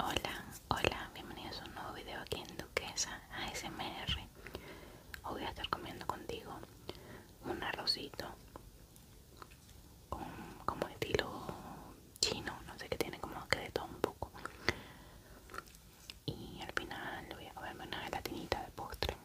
Hola, hola, bienvenidos a un nuevo video aquí en Duquesa ASMR Hoy voy a estar comiendo contigo un arrocito como estilo chino, no sé qué tiene, como que de todo un poco Y al final voy a comerme una gelatinita de postre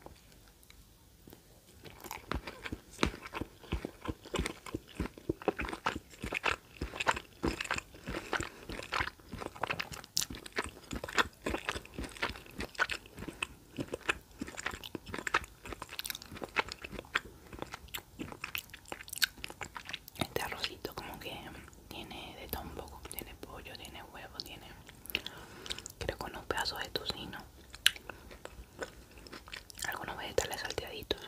este arrocito como que tiene de todo un poco, tiene pollo, tiene huevo, tiene creo con unos pedazos de tocino, algunos vegetales salteaditos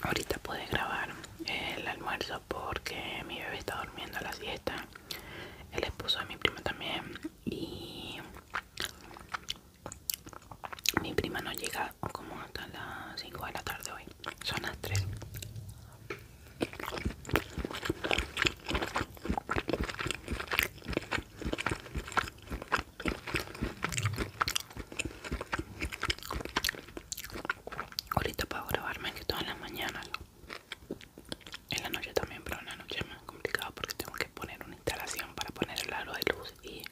Ahorita pude grabar el almuerzo porque mi bebé está durmiendo a la siesta. El esposo de mi primo también. Y mi prima no llega como hasta las 5 de la tarde hoy. Son las 3. Ahorita puedo grabarme que todas las mañanas. En la noche también, pero en la noche es más complicado porque tengo que poner una instalación para poner el aro de luz y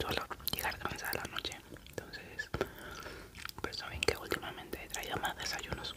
solo llegar cansada la noche. Entonces, pues saben que últimamente he traído más desayunos.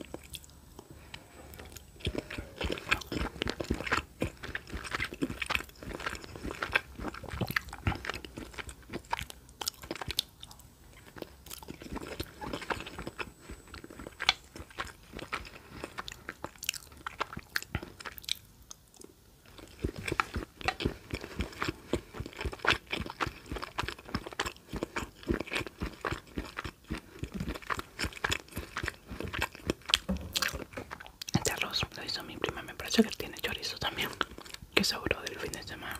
Este arroz lo hizo mi prima, me parece que tiene chorizo también, que sabro del fin de semana.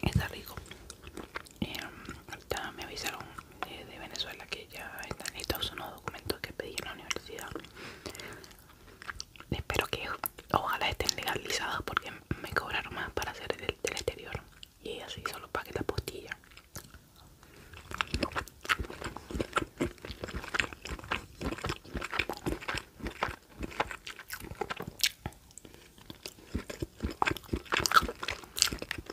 Está rico. Mm, me avisaron eh, de, Venezuela que ya están listos unos documentos que pedí en la universidad espero que ojalá estén legalizados porque me cobraron más para hacer el del exterior y así solo que la postilla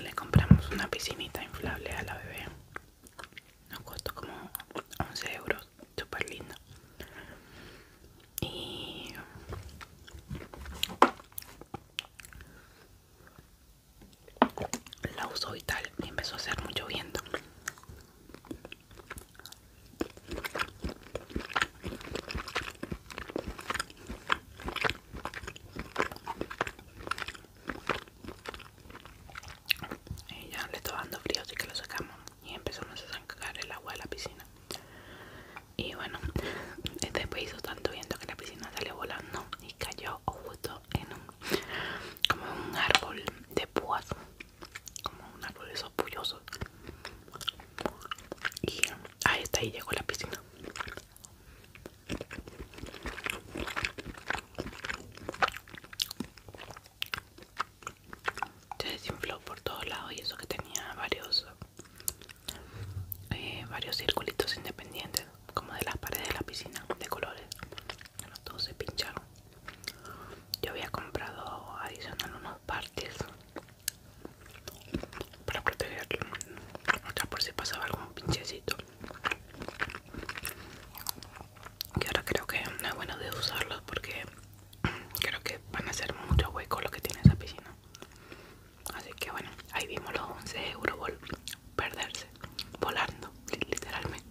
Le compramos una piscinita inflable a la bebé. Nos costó como 11 euros. Súper lindo. Y la usó y tal y empezó a hacer mucho viento ya le estaba dando frío así que lo sacamos y empezamos a sacar el agua de la piscina y bueno después hizo tanto viento que la piscina salió volando y cayó justo en un como un árbol de púas como un árbol de esos pullosos y ahí está ahí llegó la piscina se desinfló por todos lados y eso que tenía varios eh, varios circulitos independientes como de las paredes de la piscina de colores todos se pincharon yo había comprado adicional unos partes para protegerlo por si pasaba algún pinchecito que ahora creo que no es bueno de usarlos porque creo que van a ser mucho hueco lo que tiene esa piscina así que bueno ahí vimos los 11 bol perderse volando literalmente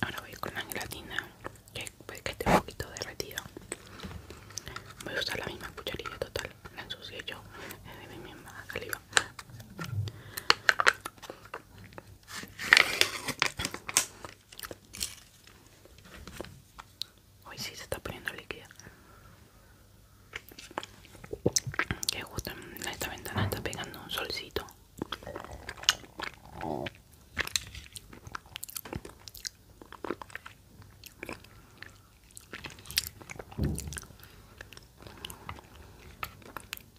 Ahora voy con la gelatina que puede que esté un poquito derretida. Voy a usar la misma cucharilla total, la ensucié yo, es de mi misma saliva. Hoy sí se está poniendo líquida. Que justo en esta ventana está pegando un solcito.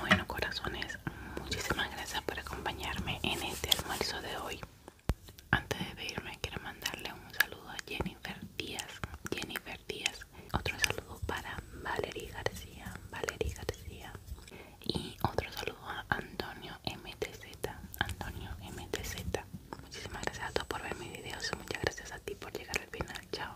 Bueno corazones, muchísimas gracias por acompañarme en este almuerzo de hoy. Antes de irme quiero mandarle un saludo a Jennifer Díaz, Jennifer Díaz, otro saludo para Valerie García, Valerie García y otro saludo a Antonio MTZ, Antonio MTZ. Muchísimas gracias a todos por ver mis videos y muchas gracias a ti por llegar al final. Chao.